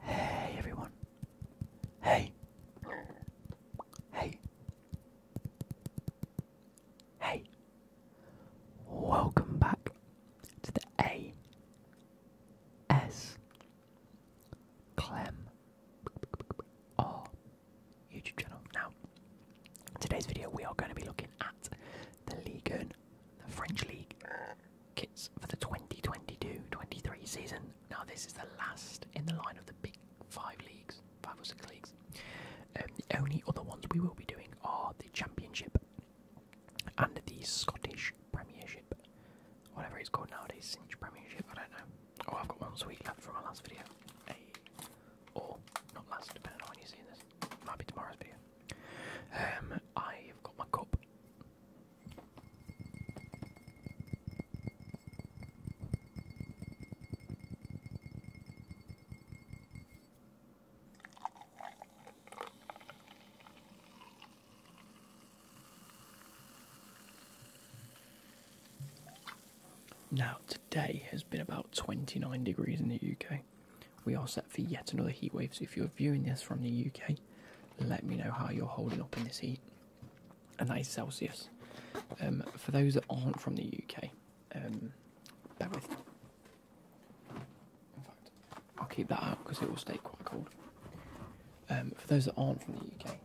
Hey everyone. Hey. Hey. Hey. Welcome back to the A S Clem R YouTube channel. Now Today's video, we are going to be looking at the League, the French League kits for the 2022-23 season. Now, this is the last in the line of the big five leagues, five or six leagues. Um, the only other ones we will be doing are the Championship and the Scottish Premiership, whatever it's called nowadays, Cinch Premiership. I don't know. Oh, I've got one sweet left from my last video. Or not last, depending on when you're seeing this. Might be tomorrow's video. Um, I've got my cup. Now, today has been about 29 degrees in the UK. We are set for yet another heatwave. so if you're viewing this from the UK, let me know how you're holding up in this heat. And that is Celsius. Um, for those that aren't from the UK, um, bear with. In fact, I'll keep that up because it will stay quite cold. Um, for those that aren't from the UK,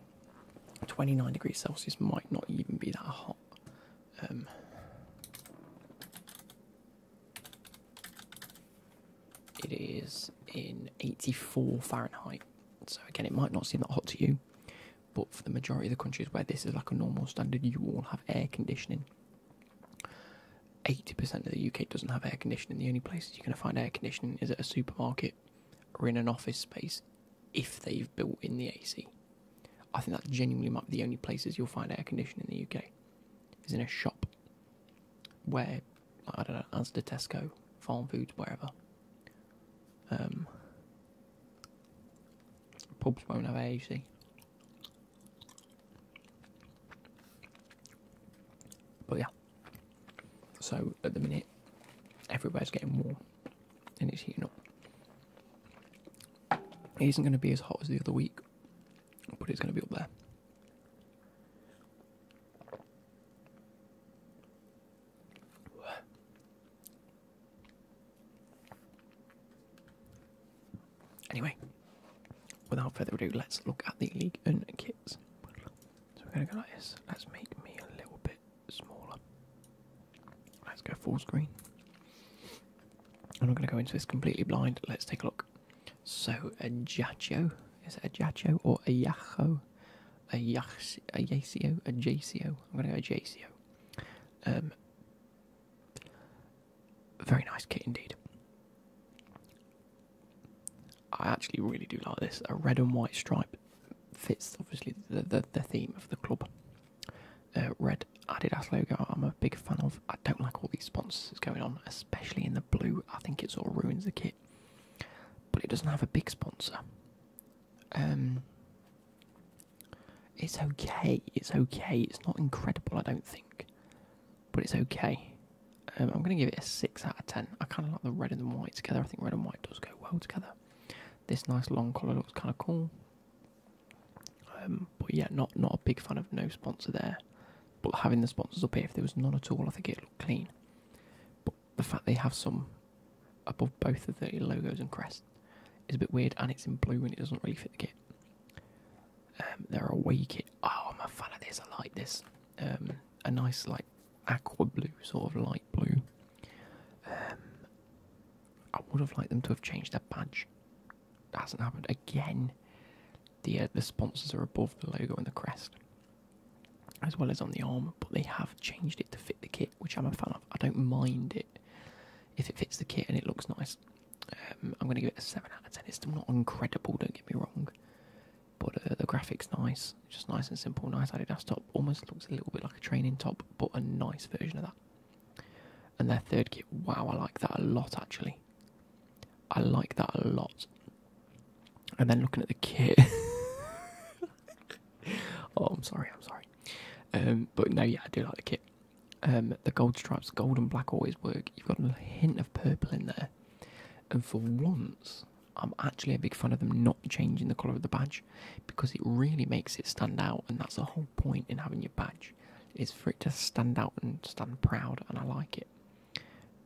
29 degrees Celsius might not even be that hot. It is in 84 Fahrenheit. So, again, it might not seem that hot to you, but for the majority of the countries where this is like a normal standard, you all have air conditioning. 80% of the UK doesn't have air conditioning. The only places you're going to find air conditioning is at a supermarket or in an office space if they've built in the AC. I think that genuinely might be the only places you'll find air conditioning in the UK is in a shop where I don't know, as the Tesco, farm foods, wherever. Um, pubs won't have AAC. But yeah, so at the minute, everywhere's getting warm and it's heating up. It isn't going to be as hot as the other week, but it's going to be up there. Anyway, without further ado, let's look at the league and kits. So we're going to go like this. Let's make me a little bit smaller. Let's go full screen. I'm not going to go into this completely blind. Let's take a look. So, a Giaccio. Is it a Giaccio or a Yacho? A Yacio? A Jacio? I'm going to go Jacio. Um, very nice kit indeed. I actually really do like this. A red and white stripe fits obviously the, the, the theme of the club. Uh, red Adidas logo I'm a big fan of. I don't like all these sponsors going on, especially in the blue. I think it sort ruins the kit. But it doesn't have a big sponsor. Um, it's okay. It's okay. It's not incredible, I don't think. But it's okay. Um, I'm going to give it a 6 out of 10. I kind of like the red and the white together. I think red and white does go well together. This nice long collar looks kind of cool. Um, but yeah, not not a big fan of no sponsor there. But having the sponsors up here, if there was none at all, I think it looked clean. But the fact they have some above both of the logos and crests is a bit weird, and it's in blue and it doesn't really fit the kit. Um, they're away kit. Oh, I'm a fan of this. I like this. Um, a nice like aqua blue, sort of light blue. I would have liked them to have changed that badge hasn't happened again. The uh, the sponsors are above the logo and the crest, as well as on the arm, but they have changed it to fit the kit, which I'm a fan of. I don't mind it if it fits the kit and it looks nice. Um, I'm going to give it a seven out of ten. It's not incredible, don't get me wrong, but uh, the graphics nice, just nice and simple. Nice Adidas top, almost looks a little bit like a training top, but a nice version of that. And their third kit, wow, I like that a lot actually. I like that a lot. And then looking at the kit. oh, I'm sorry, I'm sorry. Um, but no, yeah, I do like the kit. Um, the gold stripes, gold and black always work. You've got a hint of purple in there. And for once, I'm actually a big fan of them not changing the colour of the badge because it really makes it stand out, and that's the whole point in having your badge is for it to stand out and stand proud, and I like it.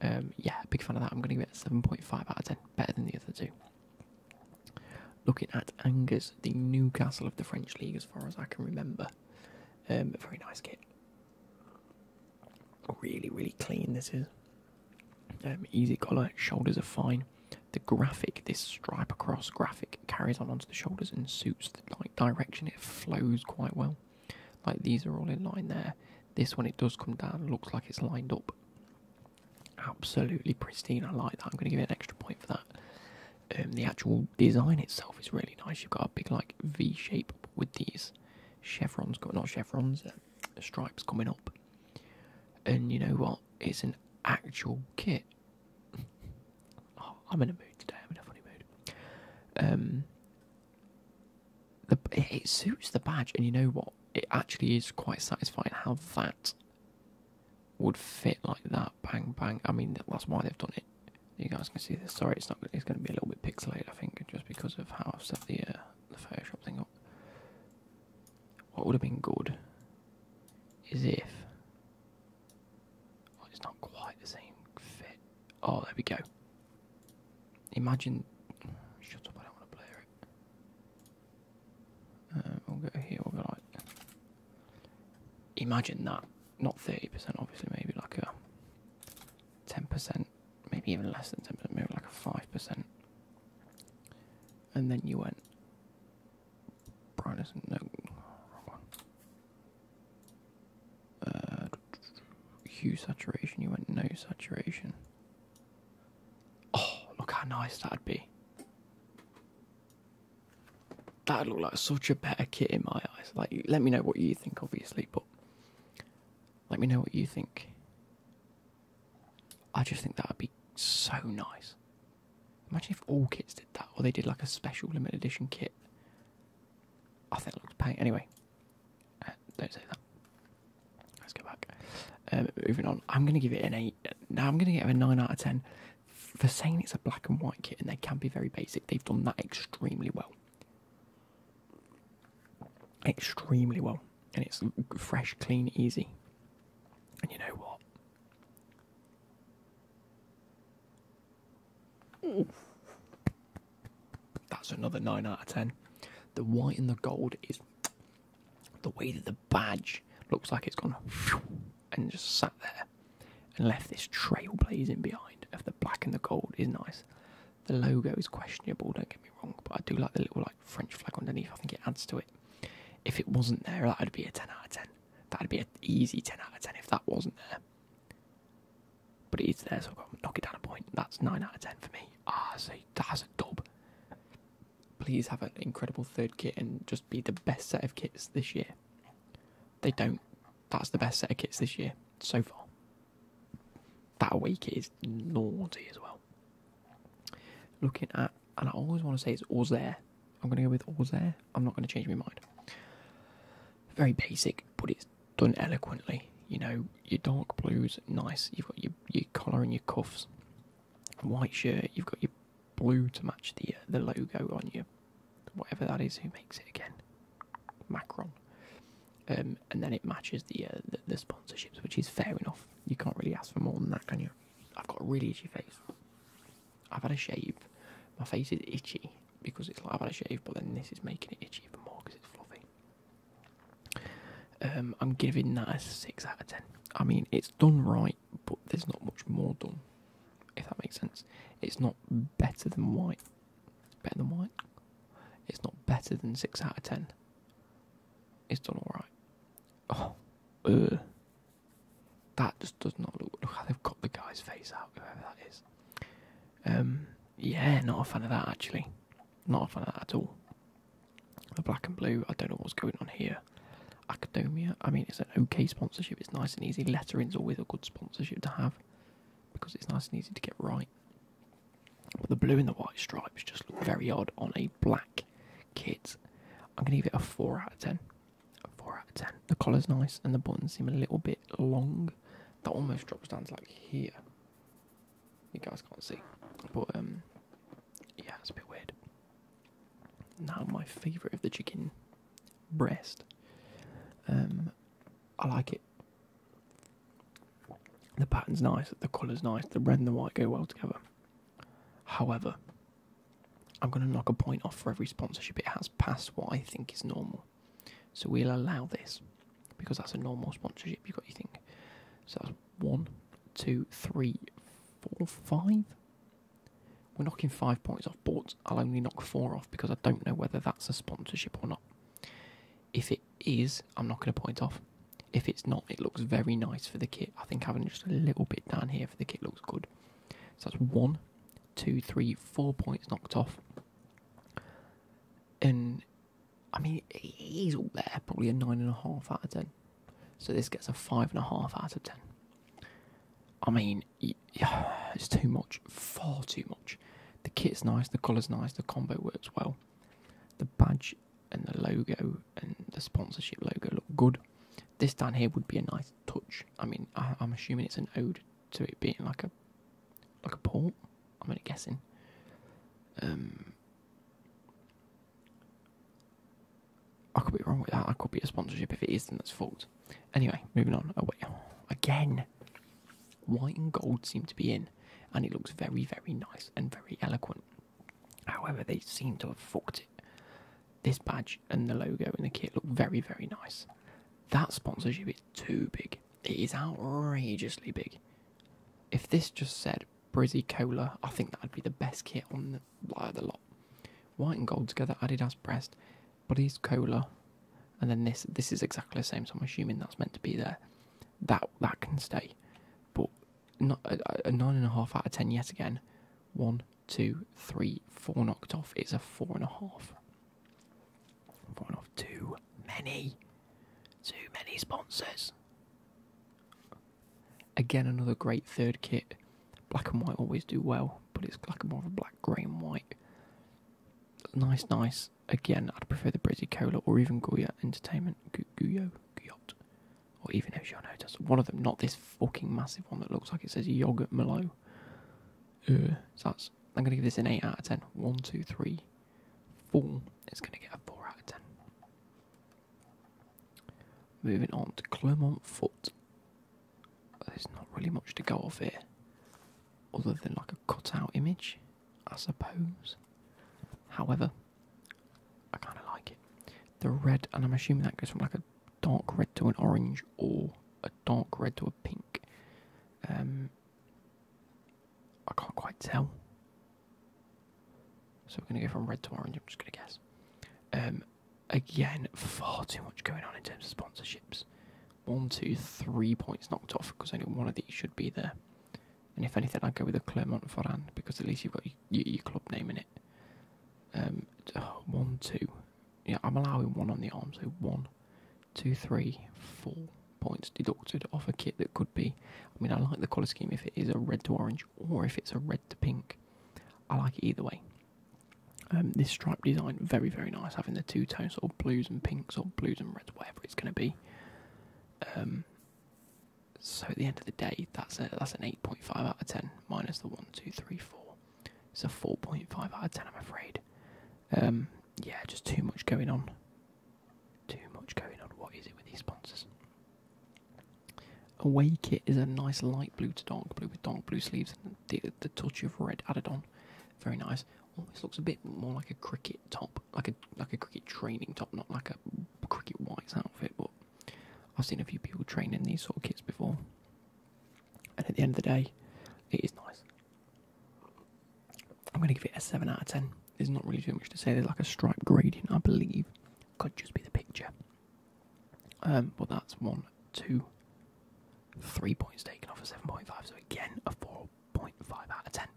Um, yeah, big fan of that. I'm going to give it a 7.5 out of 10, better than the other two. Looking at Angus, the Newcastle of the French League, as far as I can remember. Um, very nice kit. Really, really clean this is. Um, easy collar, shoulders are fine. The graphic, this stripe across graphic, carries on onto the shoulders and suits the like, direction. It flows quite well. Like these are all in line there. This one, it does come down, looks like it's lined up. Absolutely pristine. I like that. I'm going to give it an extra point for that. Um, the actual design itself is really nice. You've got a big like V shape with these chevrons, not chevrons, uh, stripes coming up. And you know what? It's an actual kit. Oh, I'm in a mood today. I'm in a funny mood. Um, it suits the badge, and you know what? It actually is quite satisfying how that would fit like that. Bang, bang. I mean, that's why they've done it. You guys can see this. Sorry, it's not. It's going to be a little bit pixelated, I think, just because of how I've set the uh, the Photoshop thing up. What would have been good is if Oh, it's not quite the same fit. Oh, there we go. Imagine. Shut up! I don't want to blur it. Uh, we'll go here. We'll go like. Imagine that. Not thirty percent, obviously. Maybe like a ten percent, maybe even less than ten percent. Maybe like a five percent. And then you went brightness. No, uh, hue saturation. You went no saturation. Oh, look how nice that'd be. That'd look like such a better kit in my eyes. Like, let me know what you think, obviously, but let me know what you think. I just think that would be so nice. Imagine if all kits did that, or they did like a special limited edition kit. I think it looks paint. Anyway, uh, don't say that. Let's go back. Um, moving on, I'm going to give it an 8. Now I'm going to give it a 9 out of 10. For saying it's a black and white kit and they can be very basic, they've done that extremely well. Extremely well. And it's fresh, clean, easy. And you know what? That's another 9 out of 10. The white and the gold is the way that the badge looks like it's gone and just sat there and left this trail blazing behind of the black and the gold is nice. The logo is questionable, don't get me wrong, but I do like the little like French flag underneath. I think it adds to it. If it wasn't there, that would be a 10 out of 10. That'd be an easy 10 out of 10 if that wasn't there. But it is there, so I've got to knock it down a point. That's 9 out of 10 for me. Ah, so that has a dub. Please have an incredible third kit and just be the best set of kits this year. They don't. That's the best set of kits this year so far. That week is naughty as well. Looking at, and I always want to say it's Auxerre. I'm going to go with Auxerre. I'm not going to change my mind. Very basic, but it done eloquently. You know, your dark blues, nice. You've got your your collar and your cuffs, white shirt. You've got your blue to match the uh, the logo on you, whatever that is. Who makes it again? Macron. Um, and then it matches uh, the the sponsorships, which is fair enough. You can't really ask for more than that, can you? I've got a really itchy face. I've had a shave. My face is itchy because it's like I've shave, but then this is making it itchy even more because it's fluffy. Um, I'm giving that a six out of ten. I mean, it's done right, but there's not much more done. If that makes sense, it's not better than white. better than white. It's not better than six out of ten. It's done all right. Oh, ugh. that just does not look. Look how they've got the guy's face out, whoever that is. Um, yeah, not a fan of that actually. Not a fan of that at all. The black and blue, I don't know what's going on here. Academia, I mean, it's an okay sponsorship, it's nice and easy. Lettering's always a good sponsorship to have because it's nice and easy to get right. But the blue and the white stripes just look very odd on a black kit. I'm going to give it a 4 out of 10. A 4 out of 10. The collar's nice and the buttons seem a little bit long. That almost drops down to like here. You guys can't see, but um, yeah, it's a bit weird. Now my favourite of the chicken breast. Um, I like it. The pattern's nice, the colour's nice, the red and the white go well together. However, I'm going to knock a point off for every sponsorship it has past what I think is normal. So we'll allow this because that's a normal sponsorship. You've got your thing. So that's one, two, three, four, five. We're knocking five points off, but I'll only knock four off because I don't know whether that's a sponsorship or not. If it is, I'm knocking a point off. If it's not, it looks very nice for the kit. I think having just a little bit down here for the kit looks good. So that's one, two, three, four points knocked off. And I mean, he's all there, probably a nine and a half out of ten. So this gets a five and a half out of ten. I mean, it's too much, far too much. The kit's nice, the colours nice, the combo works well. The badge and the logo and the sponsorship logo look good. This down here would be a nice touch. I mean, I'm assuming it's an ode to it being like a like a port. I'm only guessing. Um, I could be wrong with that. I could be a sponsorship if it is, then it's fault. Anyway, moving on. Oh wait, again. White and gold seem to be in, and it looks very, very nice and very eloquent. However, they seem to have fucked it. This badge and the logo and the kit look very, very nice. That sponsorship is too big. It is outrageously big. If this just said Brizzy Cola, I think that'd be the best kit on the, lot. White and gold together, Adidas breast, Buddy's Cola, and then this. This is exactly the same, so I'm assuming that's meant to be there. That that can stay, but not a, a nine and a half out of ten yet again. One, two, three, four knocked off. It's a four and a half i off too many, too many sponsors. Again, another great third kit. Black and white always do well, but it's like more of a black, grey, and white. Nice, nice. Again, I'd prefer the Brizzy or even Goya Entertainment, Gu Guyo, or even Oceano. Just one of them, not this fucking massive one that looks like it says yogurt Malo. Uh, so I'm going to give this an 8 out of 10. 1, 2, 3, 4. It's going to get a 4 out of 10. Moving on to Clermont Foot. There's not really much to go off here, other than like a cutout image, I suppose. However, I kind of like it. The red, and I'm assuming that goes from like a dark red to an orange or a dark red to a pink. Um, I can't quite tell. So we're going to go from red to orange, I'm just going to guess. Um, again, far too much going on in terms of sponsorships. One, two, three points knocked off because only one of these should be there. And if anything, I'd go with the Clermont Foran because at least you've got your, club name in it. Um, oh, two. Yeah, I'm allowing one on the arm, so one, two, three, four points deducted off a kit that could be. I mean, I like the colour scheme if it is a red to orange or if it's a red to pink. I like it either way. Um, this stripe design, very, very nice, having the two tones, sort of blues and pinks or blues and reds, whatever it's going to be. Um, so at the end of the day, that's a, that's an 8.5 out of 10 minus the 1, 2, 3, 4. It's a 4.5 out of 10, I'm afraid. Um, yeah, just too much going on too much going on. What is it with these sponsors? Away kit is a nice light blue to dark blue with dark blue sleeves and the, the touch of red added on. Very nice. Always oh, looks a bit more like a cricket top, like a like a cricket training top, not like a cricket whites outfit. But I've seen a few people training these sort of kits before, and at the end of the day, it is nice. I'm going to give it a 7 out of 10. There's not really too much to say. They're like a stripe gradient, I believe. Could just be the picture. Um, but that's one, two, three points taken off a 7.5. So again, a 4.5 out of 10.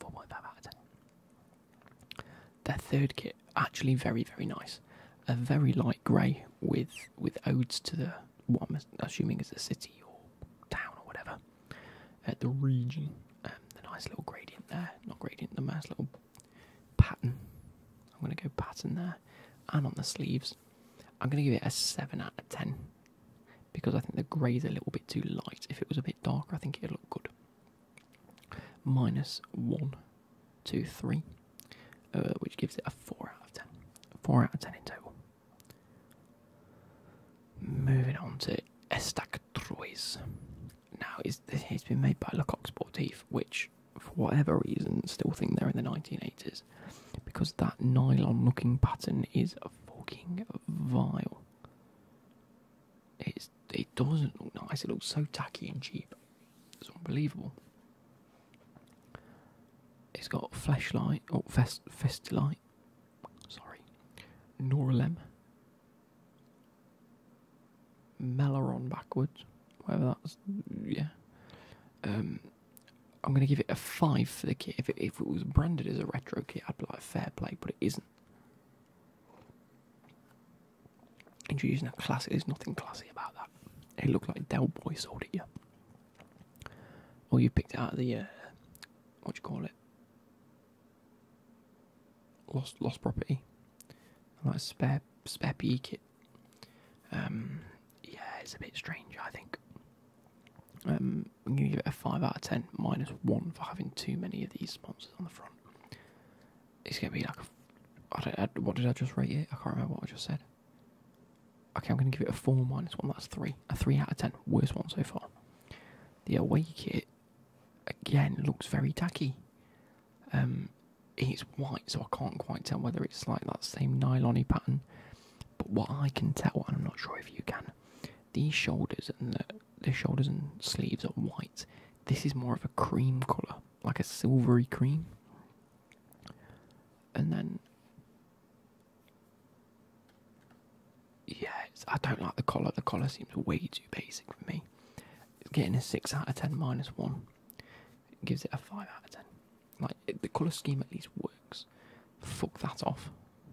4.5 out of 10. Their third kit, actually very, very nice. A very light grey with with odes to the what I'm assuming is a city or town or whatever at the region. Um, the nice little gradient there, not gradient, the nice little pattern. I'm going to go pattern there and on the sleeves. I'm going to give it a 7 out of 10 because I think the grey's a little bit too light. If it was a bit darker, I think it'd look good. Minus 1, 2, 3, uh, which gives it a 4 out of 10. 4 out of 10 in total. Moving on to Estac now, it's been made by Lecoq Sportif, which, for whatever reason, still think they're in the 1980s. Because that nylon looking pattern is a fucking vile. It's, it doesn't look nice, it looks so tacky and cheap. It's unbelievable. It's got flashlight or oh, fest, light. Sorry. Noralem. Malaron backwards. Whatever that's yeah. Um, I'm gonna give it a five for the kit. If it was branded as a retro kit, I'd be like fair play, but it isn't. Introducing a classic there's nothing classy about that. It looked like Del Boy sold it, yeah. Or oh, you picked it out of the uh, what do you call it? lost lost property, like a spare spare PE kit. Um, yeah, it's a bit strange, I think. Um, I'm gonna give it a five out of ten, minus one for having too many of these sponsors on the front. It's gonna be like, what did I just rate it? I can't remember what I just said. Okay, I'm gonna give it a four minus one. That's three. A three out of ten. Worst one so far. The awake kit again looks very tacky. Um, it's white, so I can't quite tell whether it's like that same nylony pattern. But what I can tell, and I'm not sure if you can, these shoulders and the shoulders and sleeves are white. This is more of a cream colour, like a silvery cream. And then yeah, I don't like the collar. The collar seems way too basic for me. It's getting a 6 out of 10 minus 1. It gives it a 5 out of 10. Like, the colour scheme at least works. Fuck that off.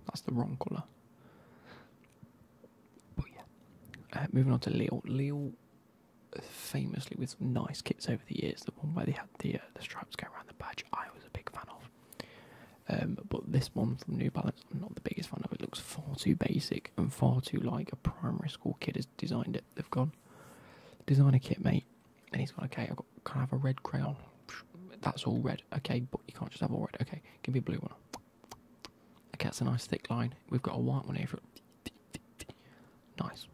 That's the wrong colour. But yeah. Uh, moving on to Lille. Lille, uh, famously with nice kits over the years, the one where they had the, uh, the stripes going around the badge, I was a big fan of. Um, but this one from New Balance, I'm not the biggest fan of. It looks far too basic and far too like a primary school kid has designed it. They've gone designer kit, mate, and he's gone. Okay, I've got can I have a red crayon? That's all red. Okay, but you can't just have all red. Okay, give me a blue one. Okay, that's a nice thick line. We've got a white one here. Nice.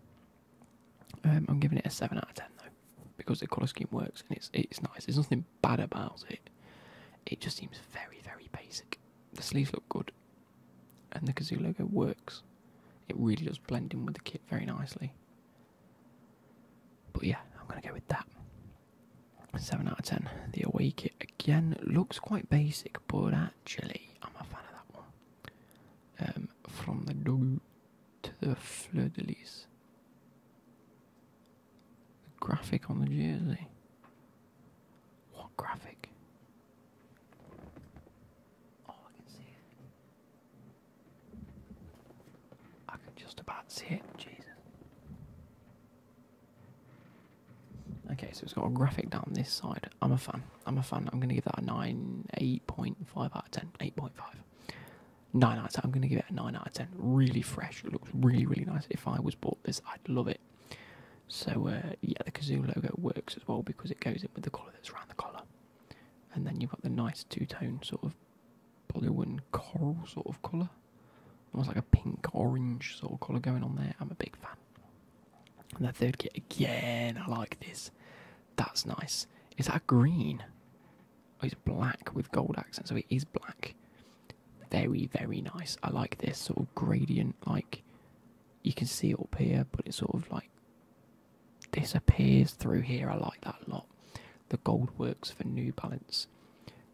Um, I'm giving it a seven out of ten though, because the colour scheme works and it's it's nice. There's nothing bad about it. It just seems very, very basic. The sleeves look good, and the Gazoo logo works. It really does blend in with the kit very nicely. But yeah, I'm gonna go with that. 7 out of 10. The away kit again looks quite basic, but actually, I'm a fan of that one. Um, from the Dogu to the Fleur de Lis. The graphic on the jersey. What graphic? Oh, I can see it. I can just about see it. Jesus. Okay, so it's got a graphic down this side. I'm a fan. I'm a fan. I'm going to give that a 9, 8.5 out of 10. 8.5. 9 out of 10. I'm going to give it a 9 out of 10. Really fresh. looks really, really nice. If I was bought this, I'd love it. So uh, yeah, the kazoo logo works as well because it goes in with the collar that's around the collar, and then you've got the nice two-tone sort of blue and coral sort of color, almost like a pink orange sort of color going on there. I'm a big fan. And the third kit again, I like this. That's nice. Is that green? Oh, it's black with gold accents, so it is black. Very, very nice. I like this sort of gradient, like you can see it up here, but it sort of like disappears through here. I like that a lot. The gold works for New Balance.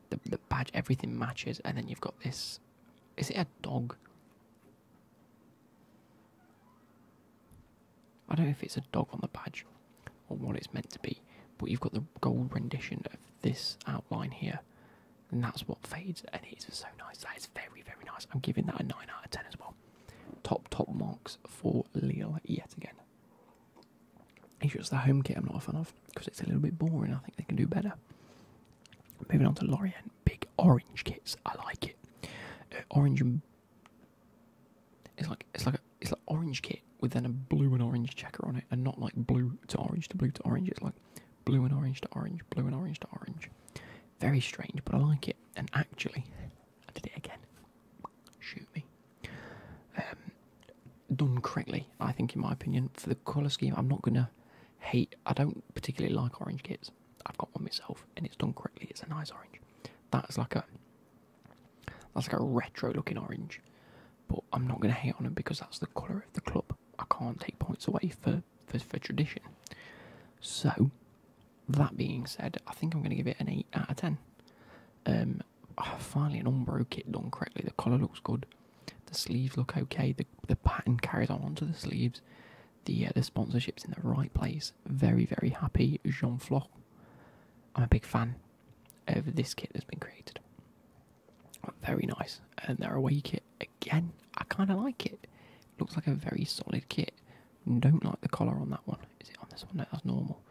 The, the badge, everything matches, and then you've got this. Is it a dog? I don't know if it's a dog on the badge or what it's meant to be, but you've got the gold rendition of this outline here, and that's what fades. And it is so nice. That is very, very nice. I'm giving that a 9 out of 10 as well. Top, top marks for Lille yet again. He's just the home kit I'm not a fan of because it's a little bit boring. I think they can do better. Moving on to Lorient, big orange kits. I like it. Uh, orange and it's like it's like it's like orange kit with then a blue and orange checker on it, and not like blue to orange to blue to orange. It's like Blue and orange to orange, blue and orange to orange. Very strange, but I like it. And actually, I did it again. Shoot me. Um, done correctly, I think, in my opinion. For the colour scheme, I'm not going to hate. I don't particularly like orange kits. I've got one myself, and it's done correctly. It's a nice orange. That's like a that's like a retro looking orange, but I'm not going to hate on it because that's the colour of the club. I can't take points away for, for, tradition. So, that being said, I think I'm going to give it an 8 out of 10. Um, finally, an Umbro kit done correctly. The collar looks good. The sleeves look okay. The, the pattern carries on onto the sleeves. The, uh, the sponsorship's in the right place. Very, very happy. Jean Floch. I'm a big fan of this kit that's been created. Very nice. And their away kit again. I kind of like it. Looks like a very solid kit. Don't like the collar on that one. Is it on this one? No, that's normal.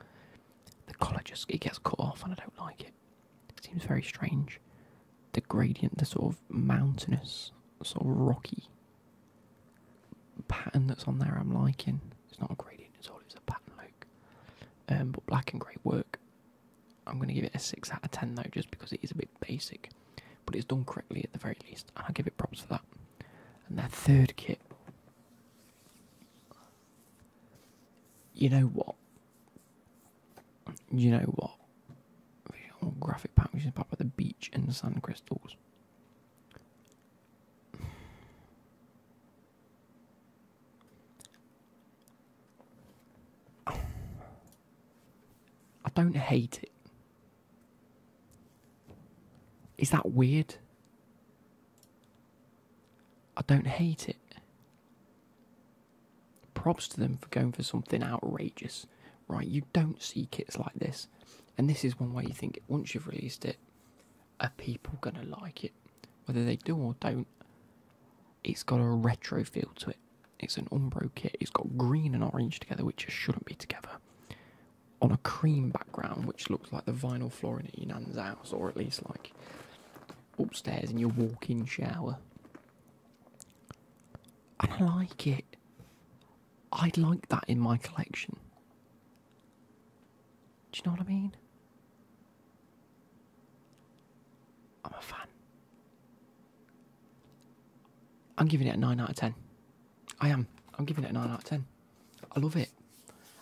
The collar just it gets cut off, and I don't like it. seems very strange. The gradient, the sort of mountainous, sort of rocky pattern that's on there, I'm liking. It's not a gradient at all. It's a pattern, Luke. Um, but black and grey work I'm going to give it a 6 out of 10 though, just because it is a bit basic. But it's done correctly at the very least, and I give it props for that. And that third kit. You know what? You know what? graphic pack, which is part of the beach and sand crystals. I don't hate it. Is that weird? I don't hate it. Props to them for going for something outrageous, right? You don't see kits like this, and this is one way you think once you've released it, are people gonna like it? Whether they do or don't, it's got a retro feel to it, it's an Umbro kit. It's got green and orange together, which shouldn't be together. On a cream background, which looks like the vinyl flooring in your nan's house, or at least like upstairs in your walk-in shower. And I like it. I'd like that in my collection. Do you know what I mean? I'm a fan. I'm giving it a 9 out of 10. I am. I'm giving it a 9 out of 10. I love it.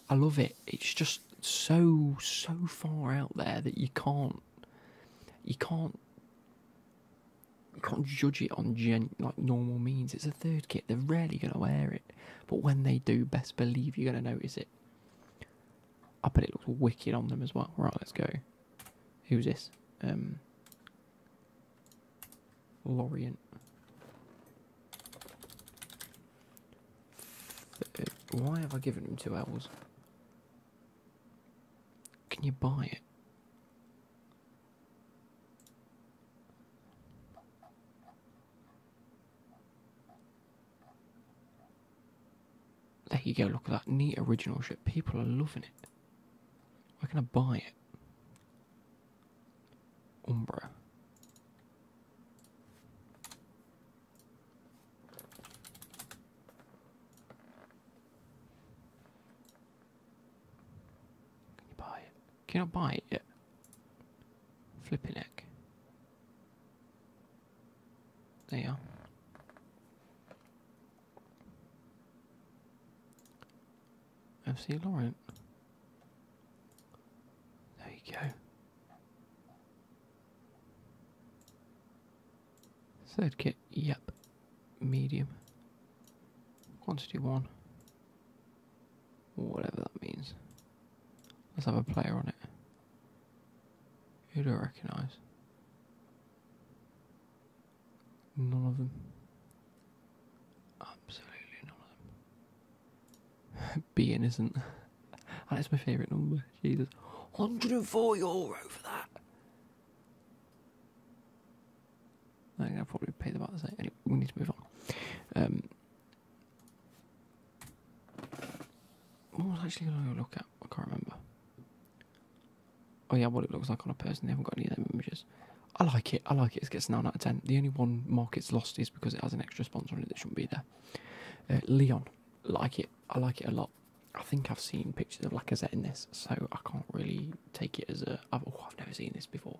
I love it. It's just so, so far out there that you can't, you can't, can't judge it on like normal means. It's a third kit. They're rarely going to wear it. But when they do, best believe you're going to notice it. I bet it looks wicked on them as well. Right, let's go. Who's this? Um, uh, Why have I given him two hours? Can you buy it? There you go, look at that neat original shit. People are loving it. Where can I buy it? Umbra. Can you buy it? Can I buy it Flipping neck. There you are. FC Laurent. There you go. Third kit, yep. Medium. Quantity one. Whatever that means. Let's have a player on it. Who do I recognise? None of them. Absolutely none of them. B innocent. That's my favourite number. Jesus. 104 euro for that. I think I'll probably pay the about the same. Anyway, we need to move on. Um, what was actually going to look at? I can't remember. Oh yeah, what it looks like on a person. They haven't got any of them images. I like it. I like it. It gets nine out of ten. The only one market's lost is because it has an extra sponsor on it that shouldn't be there. Uh, Leon, like it. I like it a lot. I think I've seen pictures of Lacazette in this, so I can't really take it as a. I've, oh, I've never seen this before.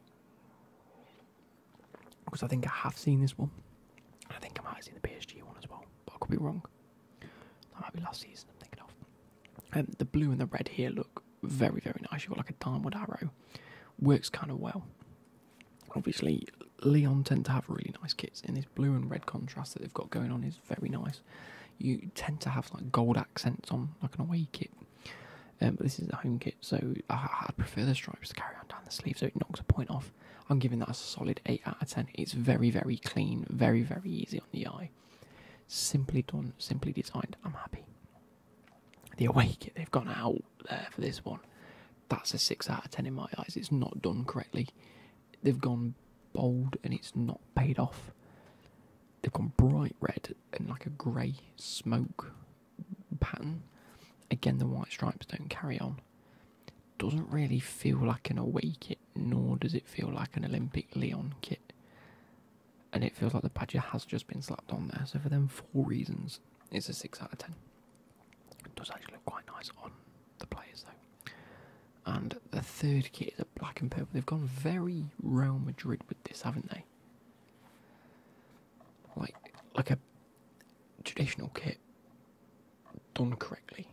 Because I think I have seen this one. I think I might have seen the PSG one as well, but I could be wrong. That might be last season, I'm thinking of. Um, the blue and the red here look very, very nice. You've got like a downward arrow. Works kind of well. Obviously, Leon tend to have really nice kits, and this blue and red contrast that they've got going on is very nice. You tend to have like gold accents on like an away kit, um, but this is a home kit, so I, would prefer the stripes to carry on down the sleeve, so it knocks a point off. I'm giving that a solid eight out of ten. It's very, very clean, very, very easy on the eye. Simply done, simply designed. I'm happy. The awake kit, they've gone out there for this one. That's a 6 out of 10 in my eyes. It's not done correctly. They've gone bold and it's not paid off. They've gone bright red and like a grey smoke pattern. Again, the white stripes don't carry on. Doesn't really feel like an away kit nor does it feel like an Olympic Leon kit. And it feels like the badge has just been slapped on there. So for them four reasons, it's a six out of ten. It does actually look quite nice on the players though. And the third kit is a black and purple. They've gone very Real Madrid with this, haven't they? Like like a traditional kit done correctly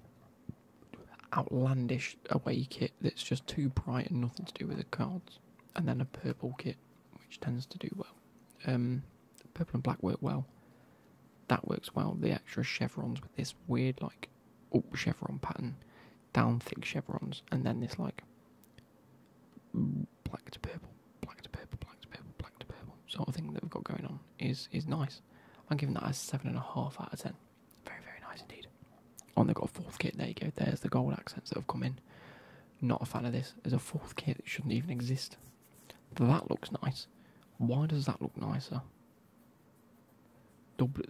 outlandish away kit that's just too bright and nothing to do with the cards, and then a purple kit which tends to do well. Um, purple and black work well. That works well. The extra chevrons with this weird like up chevron pattern, down thick chevrons, and then this like black to purple, black to purple, black to purple, black to purple sort of thing that we've got going on is is nice. I'm giving that a seven and a half out of ten. Very, very nice indeed. And they've got a fourth kit. There you go. There's the gold accents that have come in. Not a fan of this. There's a fourth kit that shouldn't even exist. That looks nice. Why does that look nicer?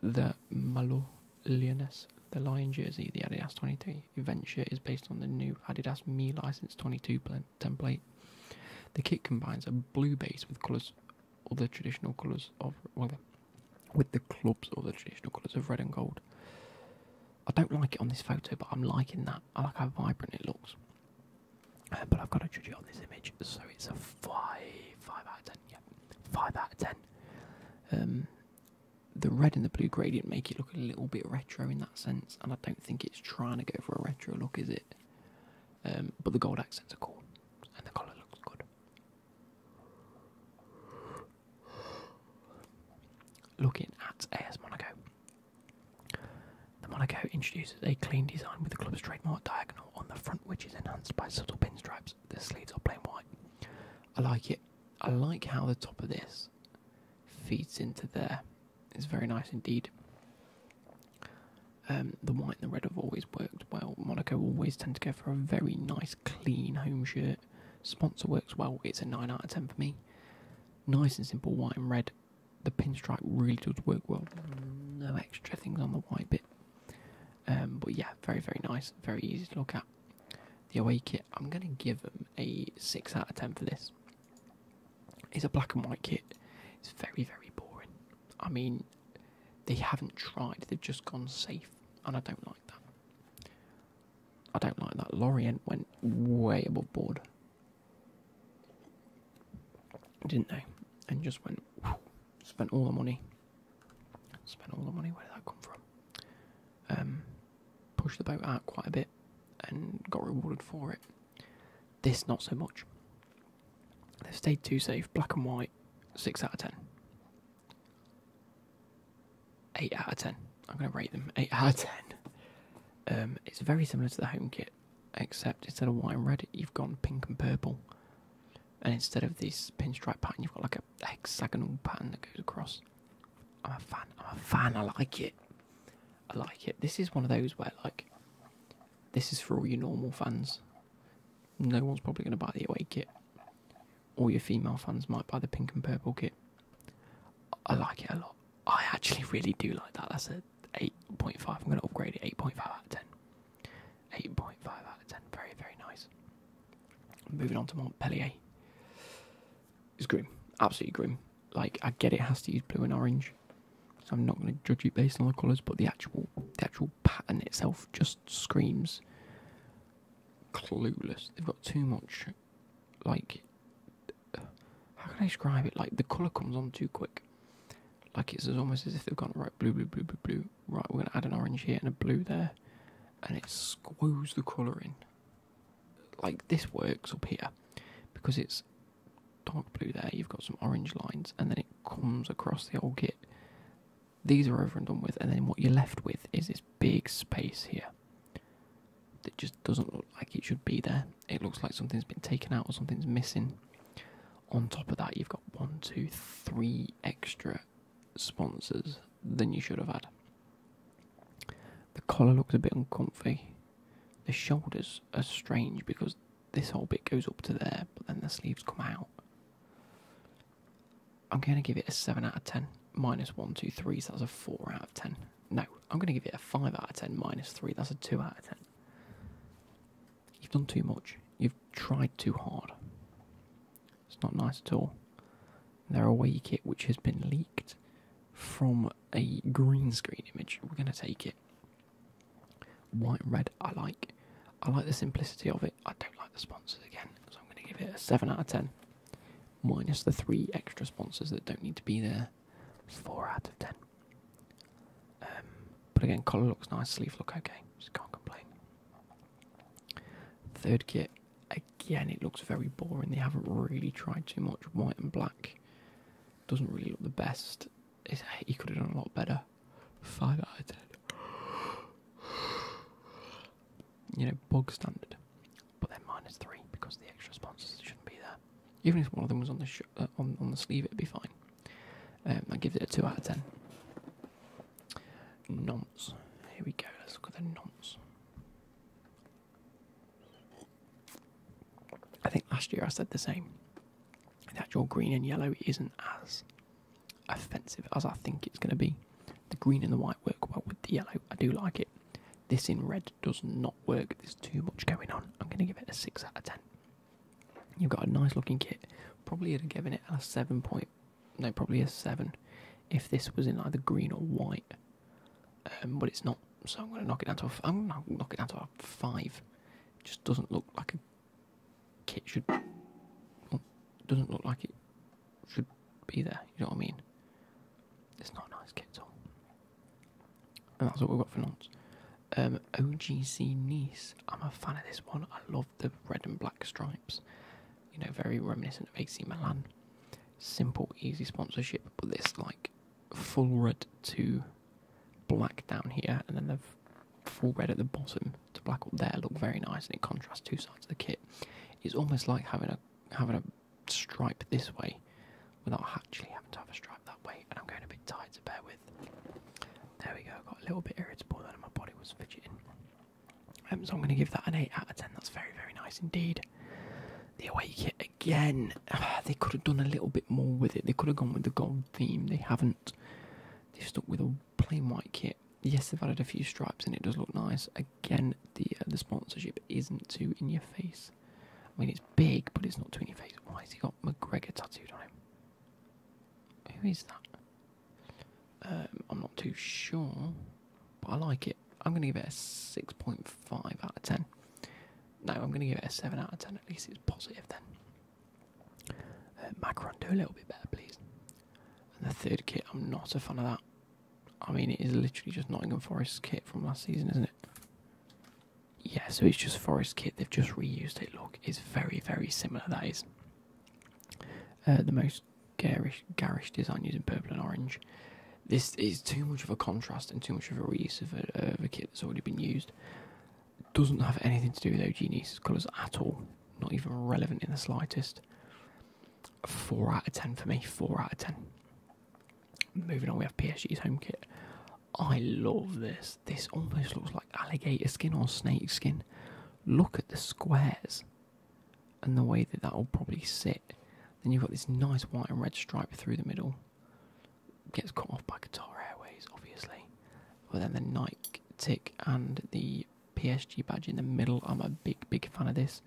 the Malo Lioness, the Lion jersey, the Adidas 23 event shirt is based on the new Adidas Me License 22 template. The kit combines a blue base with colours, all the traditional colours of well, with the clubs or the traditional colours of red and gold. I don't like it on this photo, but I'm liking that. I like how vibrant it looks. Uh, but I've got to judge it on this image, so it's a five, five out of ten. Yeah, five out of ten. Um, the red and the blue gradient make it look a little bit retro in that sense, and I don't think it's trying to go for a retro look, is it? Um, but the gold accents are cool, and the colour looks good. Looking at AS Monaco. The Monaco introduces a clean design with the club's trademark diagonal on the front, which is enhanced by subtle pinstripes. The sleeves are plain white. I like it. I like how the top of this feeds into there. It's very nice indeed. Um, the white and the red have always worked well. Monaco always tend to go for a very nice clean home shirt. Sponsor works well, it's a 9 out of 10 for me. Nice and simple, white and red. The pinstripe really does work well. No extra things on the white bit. Um, but yeah, very, very nice, very easy to look at. The away kit, I'm going to give them a 6 out of 10 for this. It's a black and white kit. It's very, very boring. I mean, they haven't tried, they've just gone safe, and I don't like that. I don't like that. Lorient went way above board, didn't they? And just went, spent all the money. Spent all the money, where did that come from? Um, pushed the boat out quite a bit and got rewarded for it. This, not so much. They've stayed too safe, black and white, 6 out of 10. 8 out of 10. I'm going to rate them 8 out of 10. Um, it's very similar to the home kit, except instead of white and red, you've gone pink and purple. And instead of this pinstripe pattern, you've got like a hexagonal pattern that goes across. I'm a fan. I'm a fan. I like it. I like it. This is one of those where, like, this is for all your normal fans. No one's probably going to buy the away kit all your female fans might buy the pink and purple kit. I like it a lot. I actually really do like that. That's a 8.5. I'm going to upgrade it 8.5 out of 10. 8.5 out of 10. Very, very nice. Moving on to Montpellier. It's grim. Absolutely grim. Like, I get it has to use blue and orange. So I'm not going to judge it based on the colours, but the actual the actual pattern itself just screams clueless. They've got too much, like, how can I describe it? Like, the colour comes on too quick. Like, it's almost as if they've gone, right, blue, blue, blue, blue, blue. Right, we're going to add an orange here and a blue there. And it squoos the colour in. Like, this works up here because it's dark blue there. You've got some orange lines, and then it comes across the whole kit these are over and done with, and then what you're left with is this big space here that just doesn't look like it should be there. It looks like something's been taken out or something's missing. On top of that, you've got one, two, three extra sponsors than you should have had. The collar looks a bit uncomfy. The shoulders are strange because this whole bit goes up to there, but then the sleeves come out. I'm going to give it a 7 out of 10. Minus 1, 2, 3, so that's a 4 out of 10. No, I'm going to give it a 5 out of 10. Minus 3, that's a 2 out of 10. You've done too much. You've tried too hard. It's not nice at all. Their away kit, which has been leaked from a green screen image. We're going to take it. White and red, I like. I like the simplicity of it. I don't like the sponsors again, so I'm going to give it a 7 out of 10. Minus the three extra sponsors that don't need to be there. 4 out of 10. Um, but again, collar looks nice, sleeve look okay. Just can't complain. Third kit, again, it looks very boring. They haven't really tried too much. White and black doesn't really look the best. he could have done a lot better. 5 out of 10 you know, bog standard. But then minus three because the extra sponsors shouldn't be there. Even if one of them was on the uh, on on the sleeve, it'd be fine. Um, I give it a two out of ten. Nonce. Here we go. Let's look at the nonce. I think last year I said the same. that your green and yellow isn't as offensive as I think it's going to be. The green and the white work well with the yellow. I do like it. This in red does not work. There's too much going on. I'm going to give it a 6 out of 10. You've got a nice looking kit. Probably would have given it a 7 point. No, probably a 7 if this was in either green or white. Um, but it's not. So I'm going to knock it down to a, I'm going to knock it down to a 5. just doesn't look like a kit should... Doesn't look like it should be there. You know what I mean? It's not a nice kit at all. And that's what we've got for launch. Um, OGC Nice. I'm a fan of this one. I love the red and black stripes. You know, very reminiscent of AC Milan. Simple, easy sponsorship, but this like full red to black down here, and then the full red at the bottom the black up there look very nice and it contrasts two sides of the kit. It's almost like having a having a stripe this way without actually having to have a stripe that way and I'm going a bit tired to bear with. There we go, got a little bit irritable then and my body was fidgeting. Um, so I'm going to give that an 8 out of 10, that's very, very nice indeed. The away kit again, they could have done a little bit more with it, they could have gone with the gold theme, they haven't. they stuck with a plain white kit yes, they've added a few stripes and it does look nice. Again, the uh, the sponsorship isn't too in your face. I mean, it's big, but it's not too in your face. Why has he got McGregor tattooed on him? Who is that? Um, I'm not too sure, but I like it. I'm going to give it a 6.5 out of 10. No, I'm going to give it a 7 out of 10. At least it's positive then. Uh, Macron, do a little bit better, please. And the third kit, I'm not a fan of that. I mean, it is literally just Nottingham Forest's kit from last season, isn't it? Yeah, so it's just Forest kit. They've just reused it. Look, it's very, very similar. That is uh, the most garish, garish design using purple and orange. This is too much of a contrast and too much of a reuse of a, kit that's already been used. Doesn't have anything to do with OG colours at all not even relevant in the slightest. Four out of ten for me. Four out of ten. Moving on, we have PSG's home kit. I love this. This almost looks like alligator skin or snake skin. Look at the squares and the way that that will probably sit. Then you've got this nice white and red stripe through the middle. Gets cut off by Qatar Airways, obviously. But then the Nike tick and the PSG badge in the middle. I'm a big, big fan of this.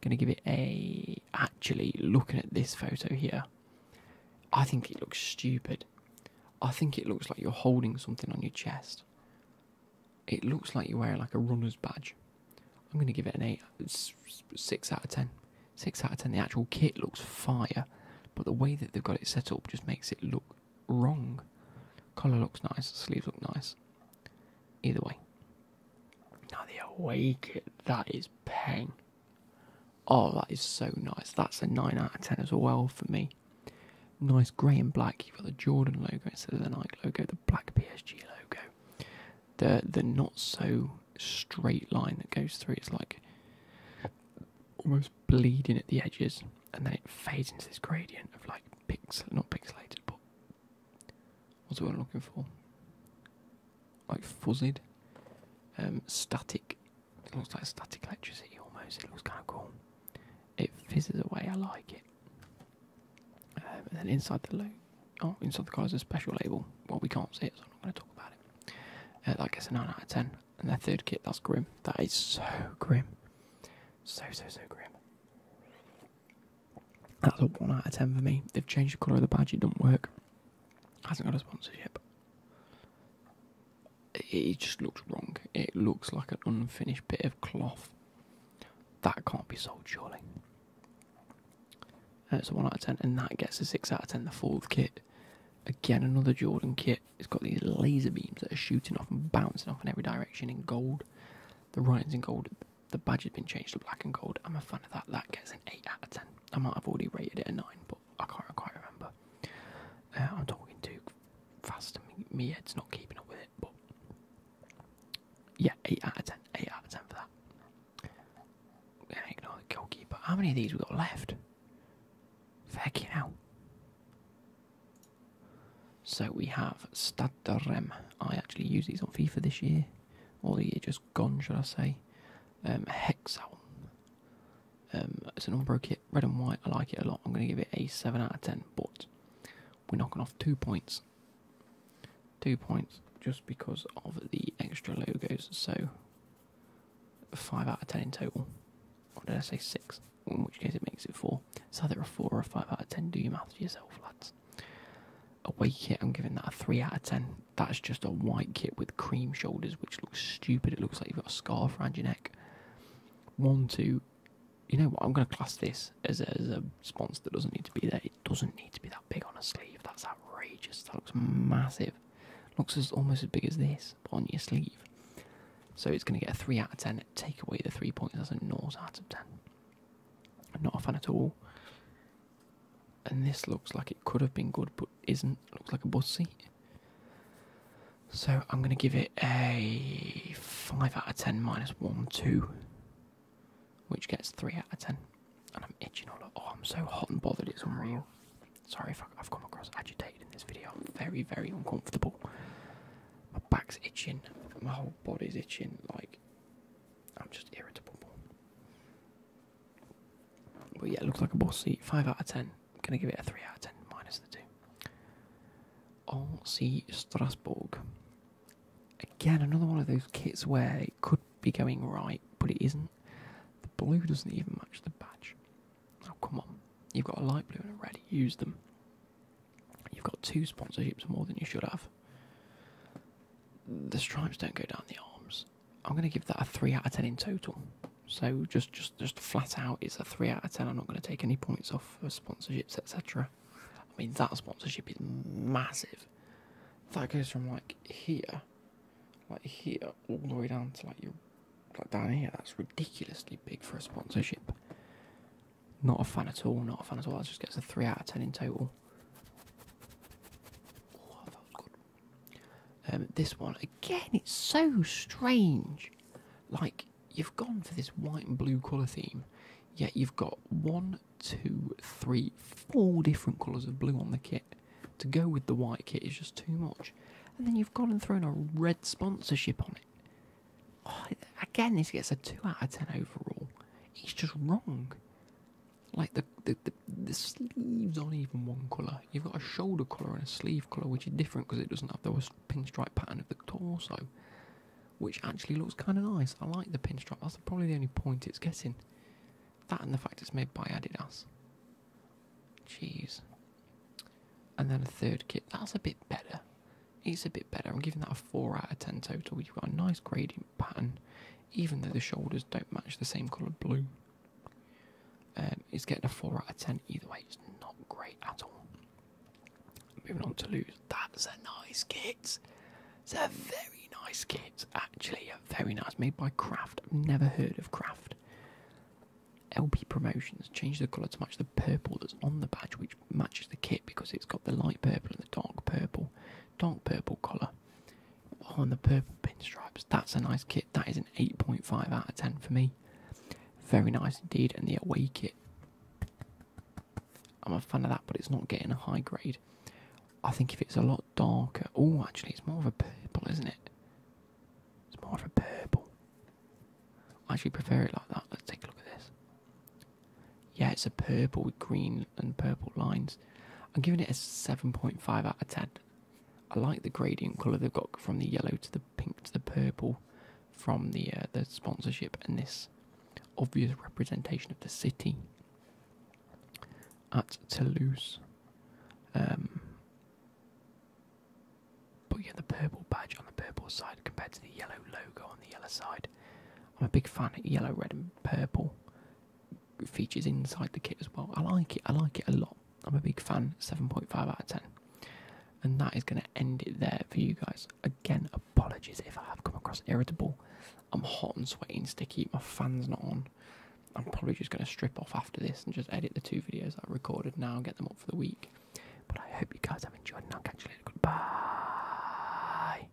Gonna give it a. Actually, looking at this photo here, I think it looks stupid. I think it looks like you're holding something on your chest. It looks like you're wearing like a runner's badge. I'm gonna give it an eight, six out of ten. Six out of ten. The actual kit looks fire, but the way that they've got it set up just makes it look wrong. Collar looks nice, sleeves look nice. Either way, now they awake it. That is peng. Oh, that is so nice. That's a 9 out of 10 as well for me. Nice grey and black. You've got the Jordan logo instead of the Nike logo, the black PSG logo. The the not so straight line that goes through it's like almost bleeding at the edges and then it fades into this gradient of like pixel not pixelated but what's it I'm looking for? Like fuzzied, um, static. It looks like static electricity almost. It looks kind of cool. It fizzes away. I like it. Um, and then inside the loop, oh, inside the car is a special label. Well, we can't see it, so I'm not going to talk about it. Uh, that gets a nine out of ten. And their third kit, that's grim. That is so grim. So so so grim. That's a 1 out of 10 for me. They've changed the colour of the badge, it doesn't work. Hasn't got a sponsorship. It just looks wrong. It looks like an unfinished bit of cloth. That can't be sold, surely. That's uh, a 1 out of 10, and that gets a 6 out of 10. The fourth kit. Again, another Jordan kit. It's got these laser beams that are shooting off and bouncing off in every direction in gold. The writing's in gold. The badge has been changed to black and gold. I'm a fan of that. That gets an 8 out of 10. I might have already rated it a 9, but I can't quite remember. Uh, I'm talking too fast. Me, me head's not keeping up with it, but yeah, 8 out of 10. 8 out of 10 for that. ignore the goalkeeper. How many of these we got left? Fuck you hell. So we have Stad I actually use these on FIFA this year, All the year just gone, should I say? Um, Hexal. Um, it's an all kit, red and white. I like it a lot. I'm going to give it a seven out of ten, but we're knocking off two points. Two points just because of the extra logos. So five out of ten in total. Or did I say six? In which case it makes it four. So either a four or five out of ten. Do your maths yourself, lads a white kit, I'm giving that a 3 out of 10. That's just a white kit with cream shoulders, which looks stupid. It looks like you've got a scarf around your neck. 1, 2. You know what? I'm going to class this as a, as a sponsor that doesn't need to be there. It doesn't need to be that big on a sleeve. That's outrageous. That looks massive. Looks as, almost as big as this, on your sleeve. So it's going to get a 3 out of 10. Take away the 3 points. That's a naught out of 10. Not a fan at all. And this looks like it could have been good, but isn't. Looks like a bus seat. So I'm going to give it a 5 out of 10 minus 1, 2, which gets 3 out of 10. And I'm itching all over. Oh, I'm so hot and bothered, it's unreal. Sorry if I've come across agitated in this video. I'm very, very uncomfortable. My back's itching. My whole body's itching. Like, I'm just irritable. But yeah, it looks like a boss seat. 5 out of 10. I'm going to give it a 3 out of 10, minus the 2. RC Strasbourg. Again, another one of those kits where it could be going right, but it isn't. The blue doesn't even match the badge. Oh, come on. You've got a light blue and a red. Use them. You've got two sponsorships more than you should have the stripes don't go down the arms. I'm going to give that a three out of ten in total. So just, just, just flat out, it's a three out of ten. I'm not going to take any points off for sponsorships, etc. I mean, that sponsorship is massive. That goes from like here, like here, all the way down to like your, like down here. That's ridiculously big for a sponsorship. Not a fan at all, not a fan at all. just gets a 3 out of 10 in total. Um, this one, again, it's so strange. Like, you've gone for this white and blue colour theme, yet you've got one, two, three, four different colours of blue on the kit. To go with the white kit is just too much. And then you've gone and thrown a red sponsorship on it. Oh, again, this gets a 2 out of 10 overall. It's just wrong. Like the the, the sleeves aren't even one colour. You've got a shoulder colour and a sleeve colour, which is different because it doesn't have the pinstripe pattern of the torso, which actually looks kind of nice. I like the pinstripe. That's probably the only point it's getting. That and the fact it's made by Adidas. Jeez. And then a third kit. That's a bit better. It's a bit better. I'm giving that a 4 out of 10 total. You've got a nice gradient pattern even though the shoulders don't match the same colour blue. Um, it's getting a 4 out of 10 either way, it's not great at all. Moving on to lose, that's a nice kit. It's a very nice kit, actually, a very nice, made by Craft. never heard of Craft. LP Promotions changed the colour to match the purple that's on the badge, which matches the kit because it's got the light purple and the dark purple dark purple collar on the purple pinstripes. That's a nice kit. That is an 8.5 out of 10 for me. Very nice indeed. And the away kit. I'm a fan of that, but it's not getting a high grade. I think if it's a lot darker. Oh, actually, it's more of a purple, isn't it? It's more of a purple. I actually prefer it like that. Let's take a look at this. Yeah, it's a purple with green and purple lines. I'm giving it a 7.5 out of 10. I like the gradient colour they've got from the yellow to the pink to the purple from the, uh, the sponsorship and this obvious representation of the city at Toulouse. Um, but yeah, the purple badge on the purple side compared to the yellow logo on the yellow side. I'm a big fan of yellow, red, and purple features inside the kit as well. I like it. I like it a lot. I'm a big fan. 7.5 out of 10. And that is going to end it there for you guys. Again, apologies if I have come across irritable. I'm hot and sweaty and sticky. My fan's not on. I'm probably just going to strip off after this and just edit the two videos I recorded now and get them up for the week. But I hope you guys have enjoyed and I'll catch you later. Goodbye.